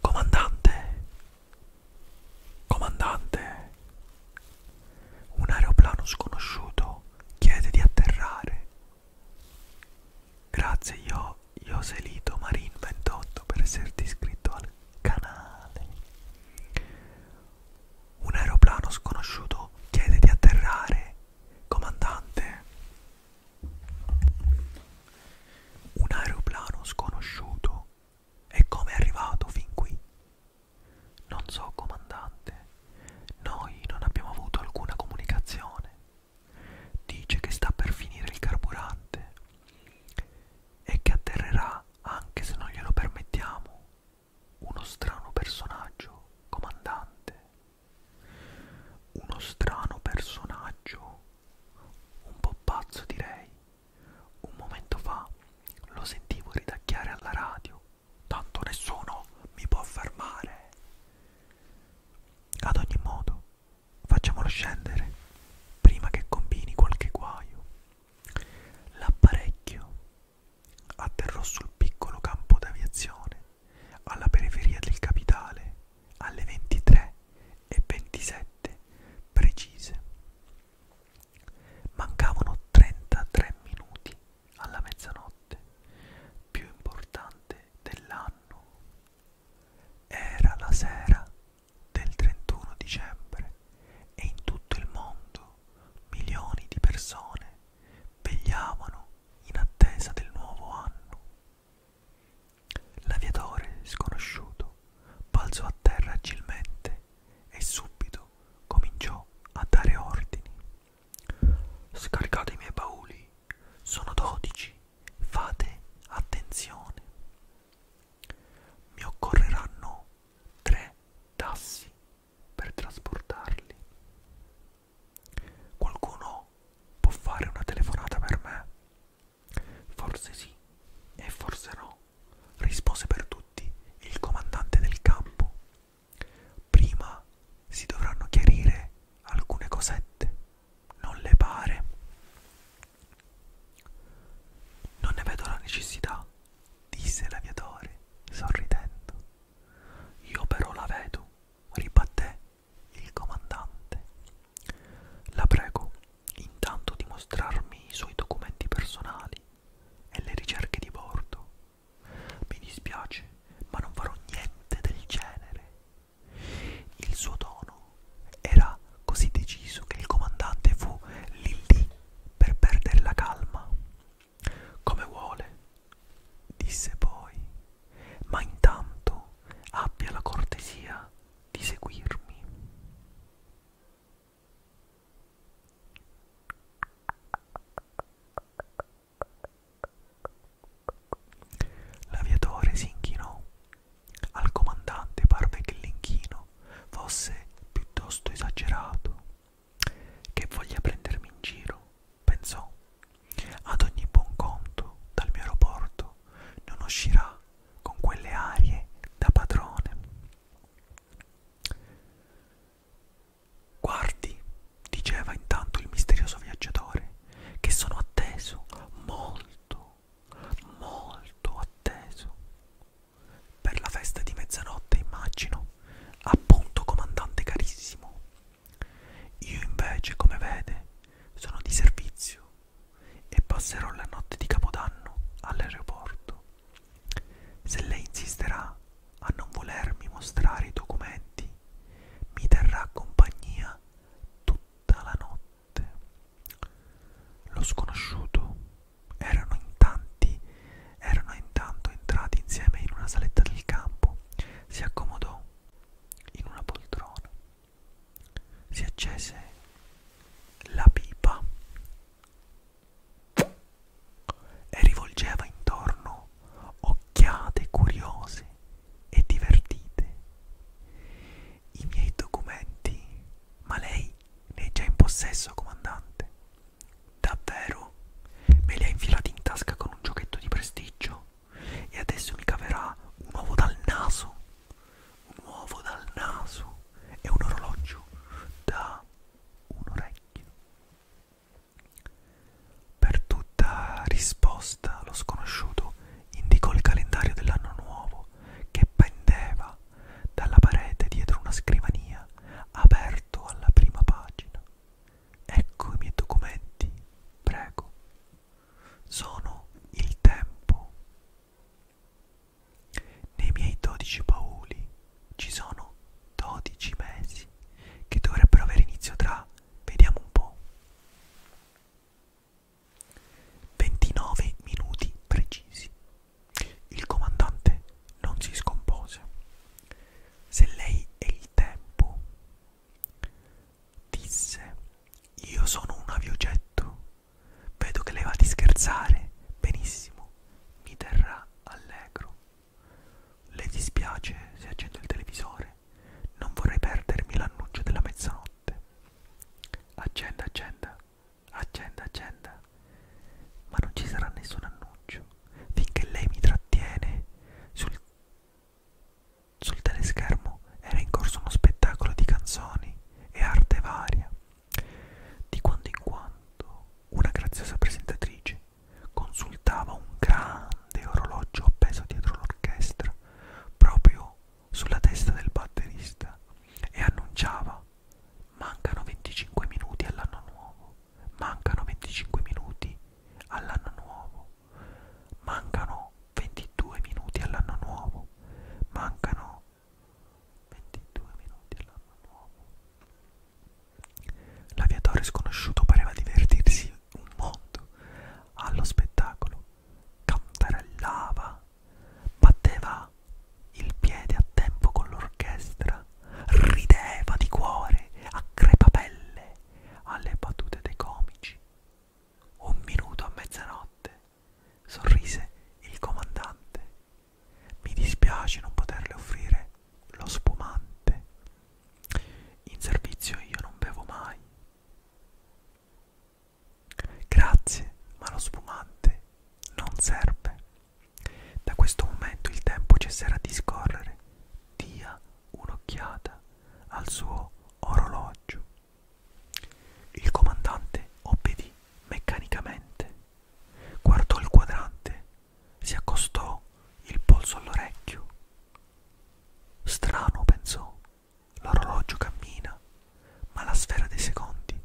Comandante, comandante, un aeroplano sconosciuto chiede di atterrare. Grazie io, Joselito Marin 28 per esserti iscritto al canale. Un aeroplano sconosciuto chiede di atterrare. Comandante, un aeroplano sconosciuto è come è arrivato fin qui. Non so, comandante, noi non abbiamo avuto alcuna comunicazione. Dice che sta per finire il carburante e che atterrerà anche se non glielo permettiamo. Uno strano personaggio, comandante. Uno strano personaggio, un po' pazzo direi. Un momento fa lo sentivo ridacchiare alla radio. Tanto nessuno mi può fermare. Ad ogni modo, facciamolo scendere prima che combini qualche guaio. L'apparecchio atterrò sul piccolo campo d'aviazione alla periferia del capitale alle 23 e 27 precise. Mancavano 33 minuti alla mezzanotte, più importante dell'anno. Era la sera del 31 dicembre e in tutto il mondo milioni di persone vegliavano in attesa del nuovo anno. L'aviatore sconosciuto balzò a terra agilmente e subito cominciò a dare ordini. Scaricate i miei bauli, sono dodici, fate attenzione. Mi occorreranno tre tassi per trasportarli. Qualcuno può fare una telefonata per me? Forse sì e forse no, rispose per tutti il comandante del campo. Prima si dovranno chiarire alcune cosette, non le pare? Non ne vedo la necessità, disse l'aviatore, sorridendo. Io però la vedo, ribatté il comandante. La prego intanto di mostrarmi i suoi documenti personali e le ricerche di bordo. Mi dispiace, ma non farò niente del genere. Il suo tono era così deciso che il comandante fu lì lì per perdere la calma. Come vuole, disse poi ma intanto abbia la cortesia di seguirmi. L'aviatore si inchinò. Al comandante parve che l'inchino fosse piuttosto esagerato. Che voglia prendermi in giro, pensò. Ad ogni buon conto, dal mio aeroporto non uscirà con quelle arie da padrone. Guardi, diceva intanto il misterioso viaggiatore, che sono atteso, molto, molto atteso. Per la festa di mezzanotte, immagino, appunto, comandante carissimo, io invece, come vede, sono di servizio e passerò la notte di Capodanno all'aeroporto. Se lei insisterà a non volermi mostrare i documenti, mi terrà compagnia tutta la notte. Lo sconosciuto erano in tanti, erano intanto entrati insieme in una saletta del campo. Si accomodò in una poltrona, si accese la pipa e rivolgeva intorno occhiate curiose e divertite. I miei documenti, ma lei ne è già in possesso, comandante. Davvero? Me li ha infilati in tasca con un giochetto di prestigio? e adesso mi caverà un uovo dal naso un uovo dal naso e un orologio da un orecchio per tutta risposta lo sconosciuto indicò il calendario dell'anno nuovo che pendeva dalla parete dietro una scrivania aperto alla prima pagina Ecco i miei documenti, prego. Sono il tempo. Nei miei dodici bauli ci sono dodici mesi che dovrebbero avere inizio tra, vediamo un po', 29 minuti precisi. Il comandante non si scompose. Se lei è il tempo, Disse, io sono un aviogetto, vedo che lei va di scherzare, benissimo, mi terrà allegro. Le dispiace se accendo il televisore, non vorrei perdermi l'annuncio della mezzanotte. Accenda, accenda, accenda, accenda, ma non ci sarà nessun annuncio finché lei mi trattiene sul sul teleschermo era in corso uno spettacolo di canzoni e arte varia. Di quando in quando una graziosa presentatrice consultava un grande orologio appeso dietro l'orchestra, proprio sulla testa del batterista, e annunciava mancano 25 minuti all'anno nuovo mancano 25 minuti all'anno nuovo, mancano 22 minuti all'anno nuovo, mancano 22 minuti all'anno nuovo. L'aviatore sconosciuto pareva divertirsi un mondo allo spettacolo, cantarellava, batteva il piede a tempo con l'orchestra rideva di cuore a crepapelle alle battute dei comici. Un minuto a mezzanotte, sorrise il comandante. Mi dispiace non poterle offrire lo spumante. In servizio io non bevo mai. Grazie, ma lo spumante non serve. Da questo momento il tempo cesserà di scorrere dia un'occhiata al suo orologio. Il comandante obbedì meccanicamente, guardò il quadrante, si accostò il polso all'orecchio. Strano, pensò, l'orologio cammina, ma la sfera dei secondi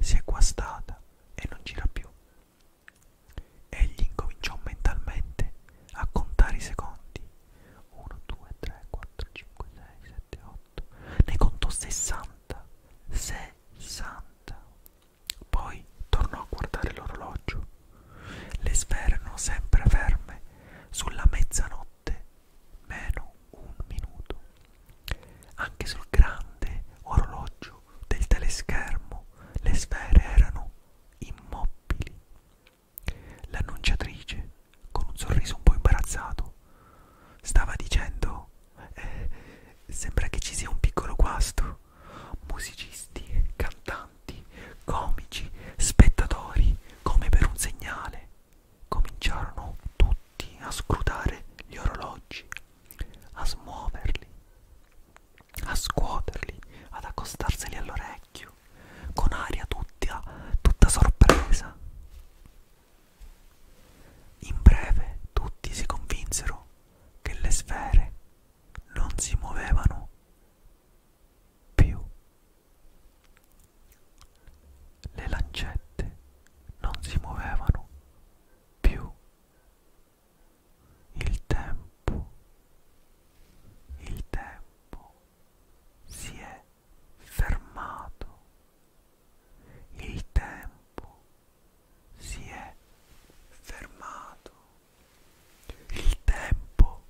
si è guastata e non gira più. Egli incominciò mentalmente a contare i secondi. 1, 2, 3, 4, 5, 6, 7, 8. Ne contò 60. 60. Poi tornò a guardare l'orologio. Le sfere erano sempre ferme sulla mezzanotte, meno un minuto. Anche sul grande orologio del teleschermo le sfere erano immobili. L'annunciatrice, con un sorriso un po' imbarazzato, stava dicendo: eh, Sembra che ci sia un piccolo guasto. Musicisti, cantanti, comici, spettatori, come per un segnale, cominciarono tutti a scrutare gli orologi a smuoverli, a scuoterli, ad accostarseli all'orecchio, con aria tutta, tutta sorpresa. In breve tutti si convinsero che le sfere non si muovevano più. Le lancette non si muovevano più il tempo, il tempo si è fermato, il tempo si è fermato, il tempo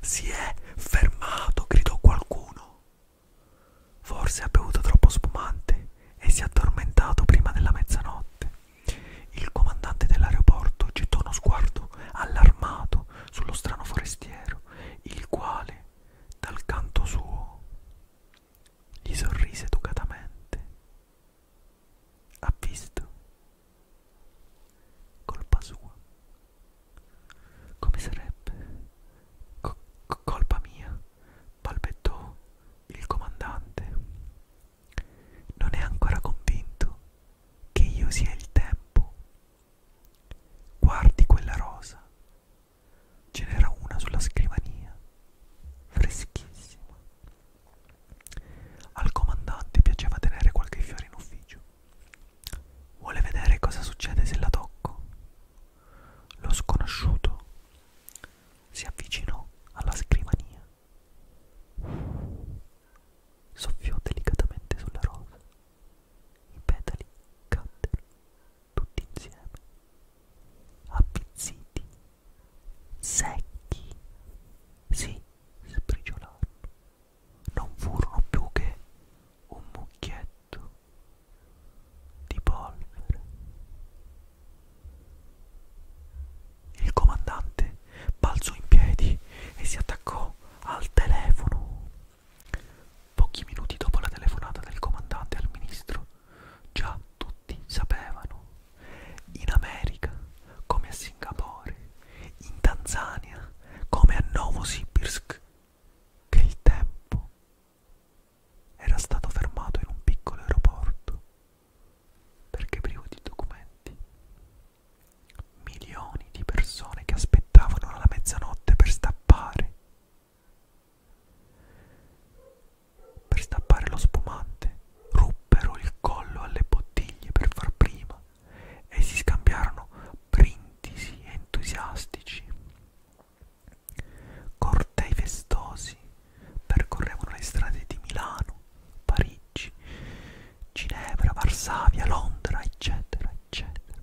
si è fermato, gridò qualcuno. Forse ha bevuto troppo spumante e si è addormentato prima della mezzanotte. Il comandante dell'aeroporto gettò uno sguardo allarmato sullo strano forestiero, il quale, dal canto suo, gli sorrise educatamente. Ha visto? Colpa sua. Come sarebbe? Co colpa mia, balbettò il comandante. Non è ancora convinto che io sia il tempo. Guardi quella rosa. Ce n'era una sulla scrivania, freschissima. Al comandante piaceva tenere qualche fiore in ufficio. Vuole vedere cosa succede se la tocco. Lo sconosciuto si avvicinò alla scrivania Soffiò delicatamente sulla rosa. I petali caddero tutti insieme, appizziti, secchi, si sbriciolarono. Non furono più che un mucchietto di polvere il comandante balzò in piedi e si attaccò al telefono. Pochi minuti dopo la telefonata del comandante al ministro, già tutti sapevano. In America, come a Singapore, in Tanzania, come a Novosibirsk, che il tempo era stato fermato in un piccolo aeroporto perché privo di documenti. Milioni di persone che aspettavano alla mezzanotte per stappare. Per stappare lo spumante ruppero il collo alle bottiglie per far prima e si scambiarono brindisi entusiastici. Cortei festosi Percorrevano le strade di Milano, Parigi, Ginevra, Varsavia, Londra, eccetera, eccetera.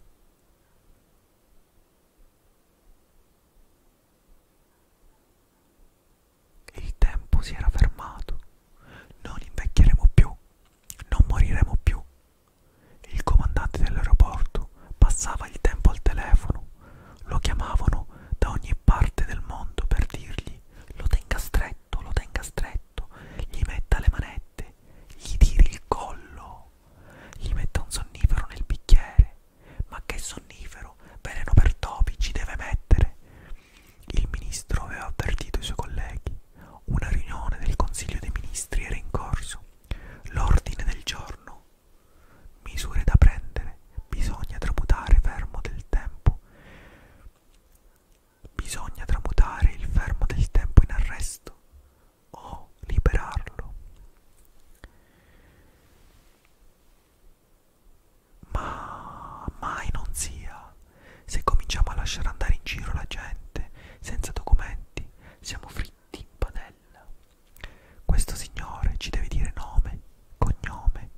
Il tempo si era fermato. Non invecchieremo più, non moriremo più. Il comandante dell'aeroporto passava il tempo al telefono lo chiamavano da ogni parte del mondo per dirgli lo tenga stretto, lo tenga stretto, gli metta le manette, gli tiri il collo, gli metta un sonnifero nel bicchiere. Ma che sonnifero, veleno per topi ci deve mettere? Il ministro aveva avvertito i suoi colleghi. Una riunione del Consiglio dei Ministri era in corso. L'ordine del giorno misure da prendere, bisogna tramutare fermo del tempo, bisogna tramutare il fermo del tempo in arresto o liberarlo. Ma mai non sia, se cominciamo a lasciare andare in giro la gente senza documenti, siamo fritti in padella bella. Questo signore ci deve dire nome, cognome,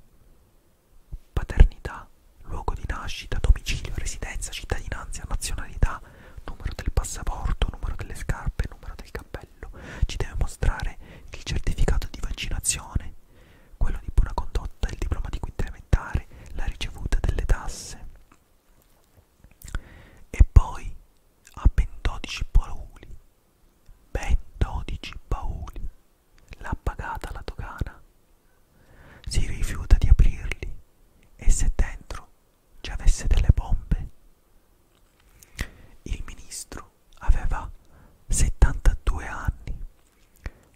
paternità, luogo di nascita, domicilio, residenza, cittadinanza, nazionalità, numero del passaporto, numero delle scarpe, numero del cappello. Ci deve mostrare il certificato di vaccinazione, quello di buona condotta, il diploma di quinta elementare, la ricevuta delle tasse. E poi ha ben 12 poluli ben 12 bauli. L'ha pagata la dogana. Si rifiuta di aprirli e se dentro ci avesse delle bombe. Il ministro aveva 72 anni.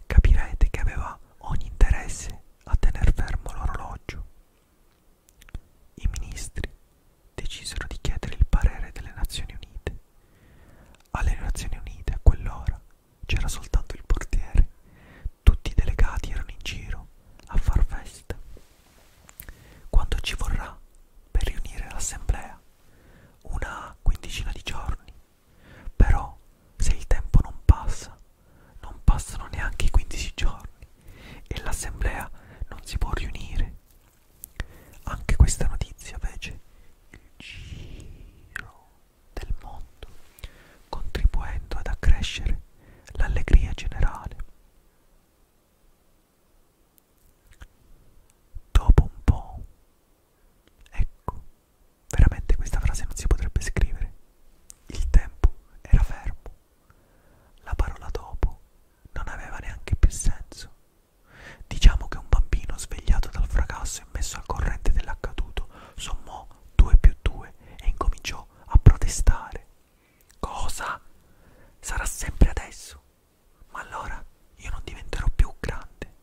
Capirete che aveva ogni interesse a tener fermo l'orologio. I ministri decisero di chiedere il parere delle Nazioni Unite. Alle Nazioni Unite a quell'ora c'era soltanto il portiere, tutti i delegati erano in giro a far festa. Quanto ci vorrà per riunire l'assemblea? Una quindicina di giorni. Però se il tempo non passa, non passano neanche i 15 giorni e l'assemblea non si può riunire anche questa notizia fece il giro del mondo, contribuendo ad accrescere l'allegria generale. Dopo un po', ecco, veramente questa frase non si potrebbe scrivere. Il tempo era fermo. La parola dopo non aveva neanche più senso. Diciamo che un bambino svegliato dal fracasso e messo al corrente dell'accaduto sommò 2 più 2 e incominciò a protestare. Cosa? Sarà sempre adesso? Ma allora io non diventerò più grande.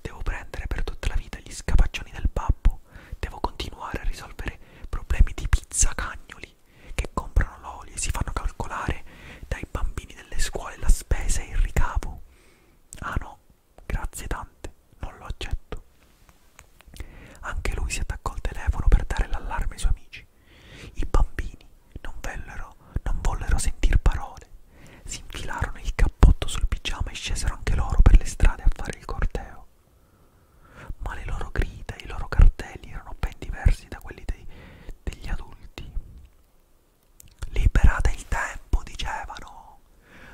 Devo prendere per tutta la vita gli scapaccioni del babbo. Devo continuare a risolvere problemi di pizza cagnoli adulti che comprano l'olio e si fanno calcolare dai bambini delle scuole la spesa e il ricavo. Ah no, grazie tante, non lo accetto. Anche lui si attaccò al telefono per dare l'allarme ai suoi amici. I bambini non, vellero, non vollero sentir parole. Si infilarono il cappotto sul pigiama e scesero anche loro per le strade a fare il corteo ma le loro grida e i loro cartelli erano ben diversi da quelli dei, degli adulti. Liberate il tempo, dicevano.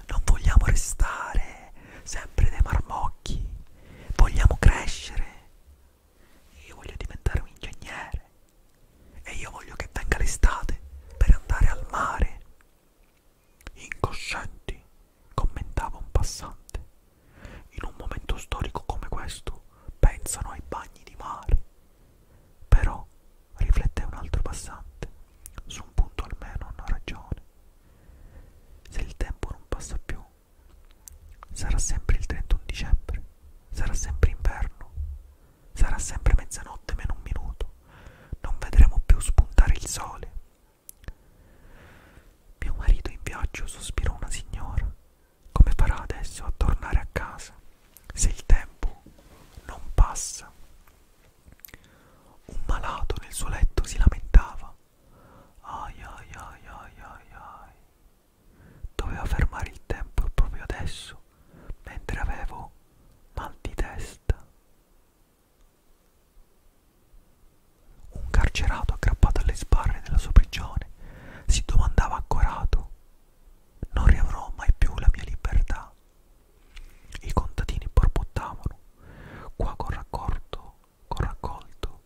Non vogliamo restare sempre dei marmocchi, vogliamo crescere. Io voglio diventare un ingegnere e io voglio che venga l'estate per andare al mare. Incoscienti, commentava un passante. In un momento storico come questo pensano ai bagni di mare. Però, riflette un altro passante, su un punto almeno hanno ragione. Se il tempo non passa più, sarà sempre il 31 dicembre, sarà sempre inverno, sarà sempre mezzanotte meno un minuto, non vedremo più spuntare il sole. Mio marito in viaggio, sospirò una signora. Come farà adesso a tornare a casa se il tempo non passa? Un malato nel suo letto si lamentava. Ai ai ai ai ai ai. Doveva fermare il tempo proprio adesso, mentre avevo mal di testa. Un carcerato aggrappato alle sbarre della sua prigione si domandava accorato: Non riavrò mai più la mia libertà. I contadini borbottavano, qua con raccolto, con raccolto.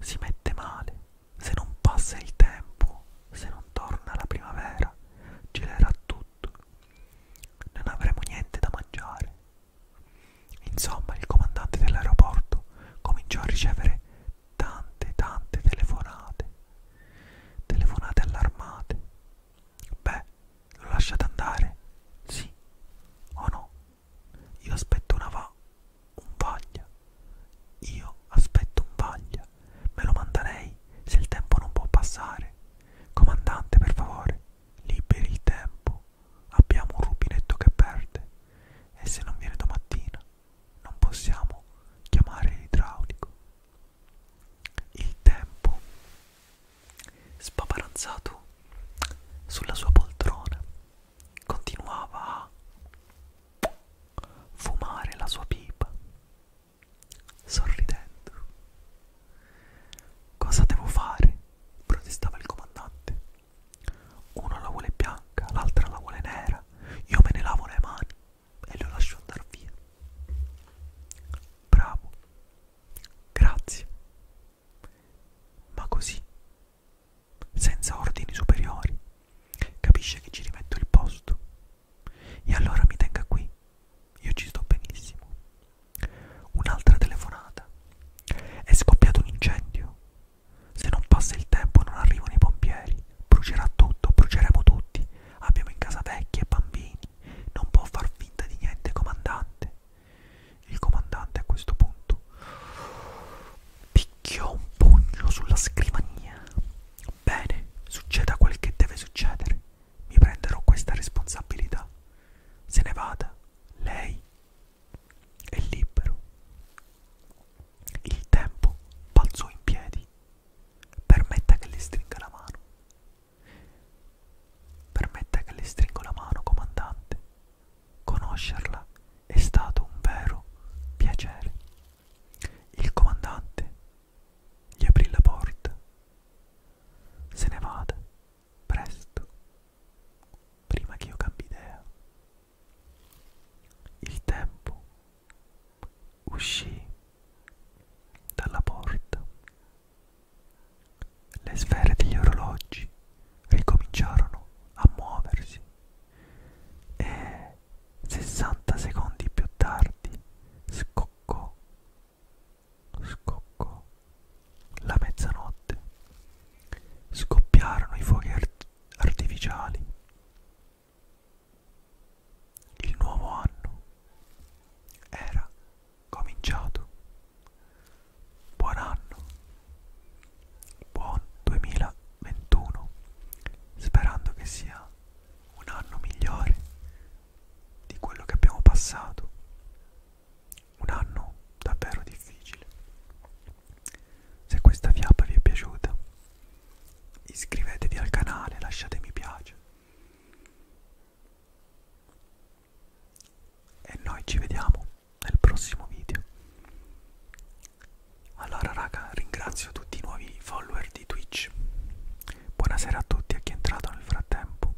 Si mette male, se non passa il tempo, se non torna la primavera, gelerà tutto. Non avremo niente da mangiare. Insomma, il comandante dell'aeroporto cominciò a ricevere tante, tante telefonate, telefonate allarmate. Beh, lo lasciate andare? Sì o no? Io aspetto una va, un vaglia. Io aspetto un vaglia. Me lo manda lei se il tempo non può passare. Comandante, per favore, liberi il tempo abbiamo un rubinetto che perde e se non viene domattina non possiamo chiamare l'idraulico. Il tempo, spaparanzato sulla sua poltrona, continuava a fumare la sua pipa, sorridendo. Cosa devo fare? protestava il comandante. Uno la vuole bianca, l'altra la vuole nera. Io me ne lavo le mani e le lascio andare via. Bravo. Grazie. Ma così, senza ordini superiori, capisce che ci rimetto il posto. E allora mi tenga qui. Io ci sto benissimo. Un'altra telefonata. È scoppiato un incendio. Se non passa il tempo non arrivano i pompieri. Brucerà tutto, bruceremo tutti. Abbiamo in casa vecchi e bambini. Non può far finta di niente, comandante. Il comandante a questo punto picchiò un pugno sulla scrivania. Bene, succeda quel che deve succedere. Mi prenderò questa responsabilità. Se ne vada, lei e libero. Il tempo balzò in piedi. Permetta che le stringa la mano. Permetta che le stringo la mano, comandante. Conoscerla è stato un vero piacere. Il comandante gli aprì la porta. Se ne vada presto, prima che io cambi idea. Il tempo uscì dalla porta. Le sfere degli orologi ricominciarono a muoversi e 60 secondi più tardi scoccò scoccò la mezzanotte. Scoppiarono i fuochi art artificiali. Il nuovo anno era cominciato. Buon anno. Buon 2021. Sperando che sia un anno migliore di quello che abbiamo passato un anno davvero difficile. Se questa fiaba vi è piaciuta, iscrivetevi al canale, lasciate mi piace. E noi ci vediamo nel prossimo video. Allora raga, ringrazio tutti i nuovi follower di Twitch. Buonasera a tutti a chi è entrato nel frattempo.